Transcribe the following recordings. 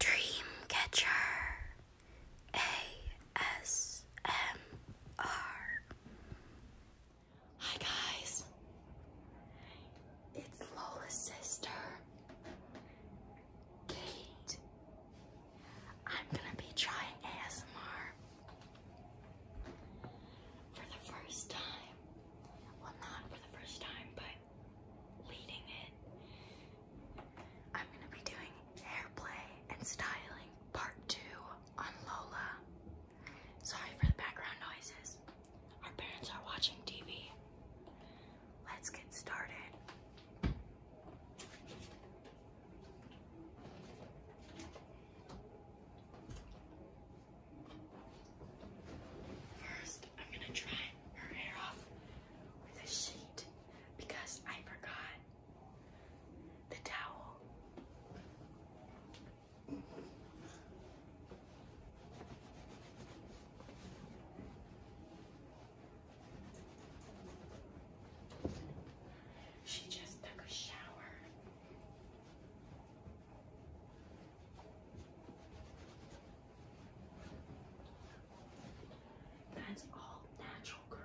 Dreamcatcher ASMR. Hi guys, it's Lola's sister, Kate. I'm gonna be trying ASMR for the first time. Well, not for the first time, but leading it. I'm gonna be doing hair play and styling part two on Lola. Sorry for the background noises. Our parents are watching TV. Let's get started. First, I'm gonna dry her hair off with a sheet because I forgot the towel. She just took a shower. That's all natural, girl.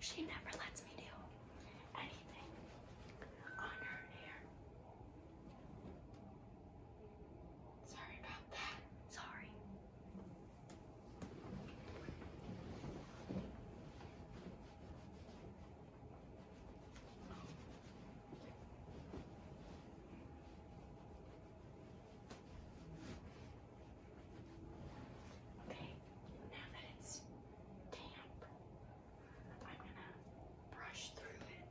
She never lets me do anything on her hair. Sorry about that. Sorry. Okay, now that it's damp, I'm gonna brush through it.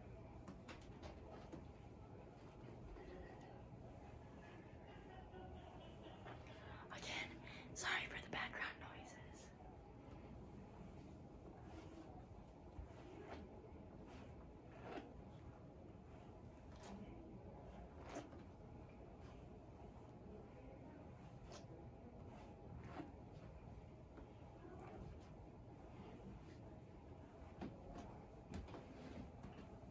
Again, sorry for the background noises.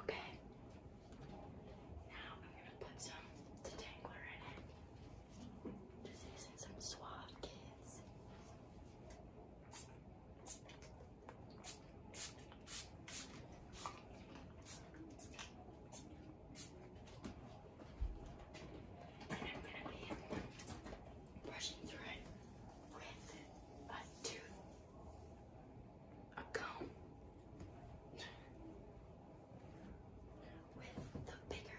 Okay. Now I'm gonna put some detangler in it. Just using some suave kids. And I'm going to be brushing through it with a tooth, a comb, with the bigger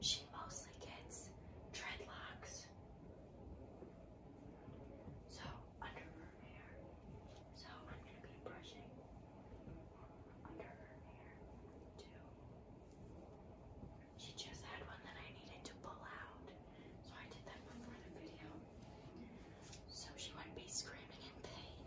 She mostly gets dreadlocks. So, under her hair. So, I'm going to be brushing under her hair, too. She just had one that I needed to pull out. So, I did that before the video. So, she wouldn't be screaming in pain.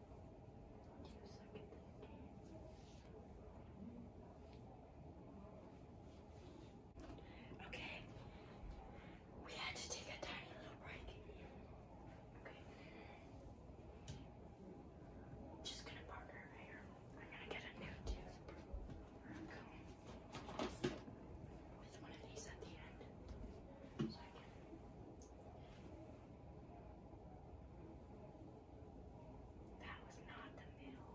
Okay, we had to take a tiny little break. Okay, just gonna park her right I'm gonna get a new tooth with one of these at the end that was not the middle.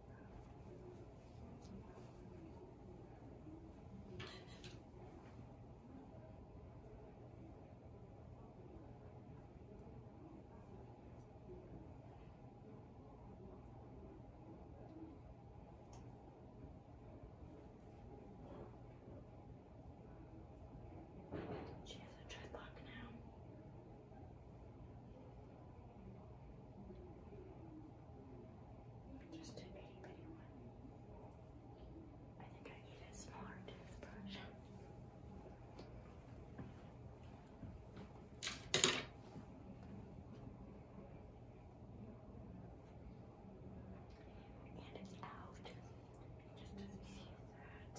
She has a dreadlock now. Just an itty I think I need a smaller toothbrush. And it's out. Just as easy that.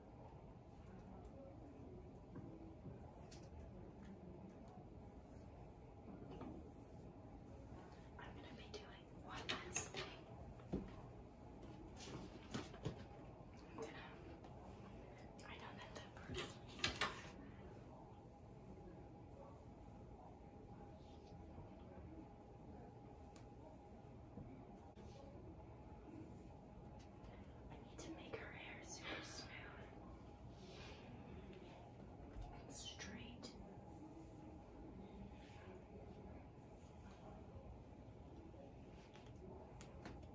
I'm going to be doing one last thing. I'm gonna, I know that that person. I need to make her hair super smooth and straight.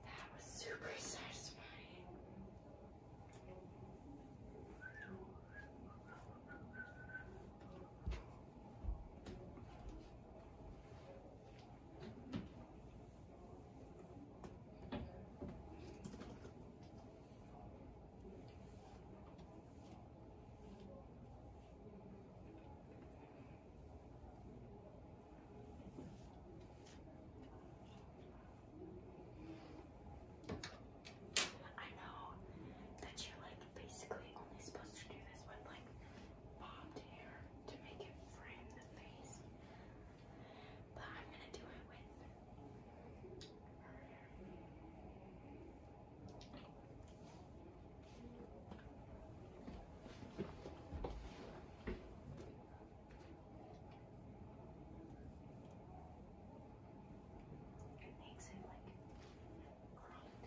That was super satisfying. I know that you're like basically only supposed to do this with like bobbed hair to make it frame but I'm gonna do it with it makes it like clean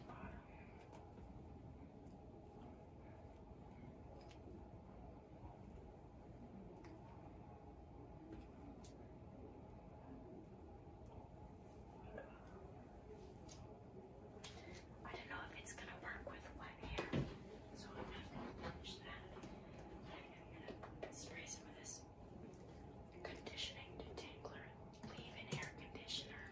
bottom. I don't know if it's going to work with wet hair, so I'm going to polish that. I'm going to spray some of this conditioning detangler leave-in hair conditioner.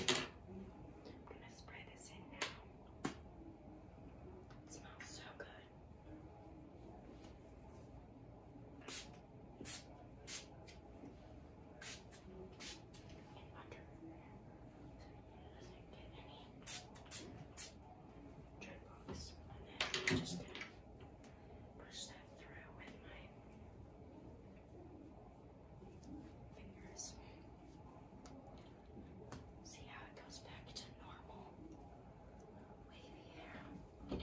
I'm gonna spray this in now. It smells so good. And under, And then I'm just gonna push that through with my fingers. See how it goes back to normal wavy hair.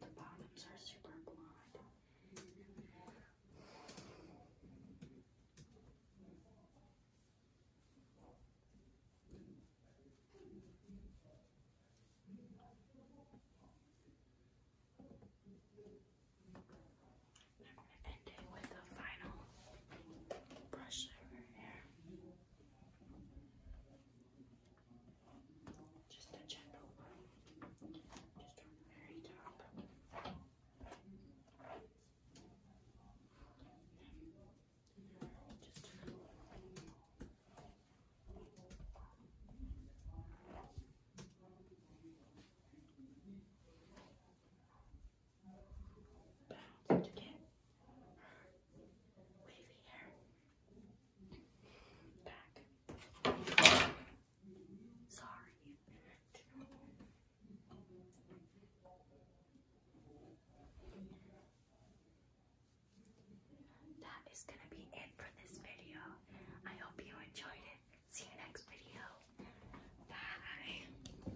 The bottoms are super blonde. I'm going to with a final brush over here. Just a gentle one. Just on the very top. Just that is going to be it for this video. I hope you enjoyed it. See you next video. Bye.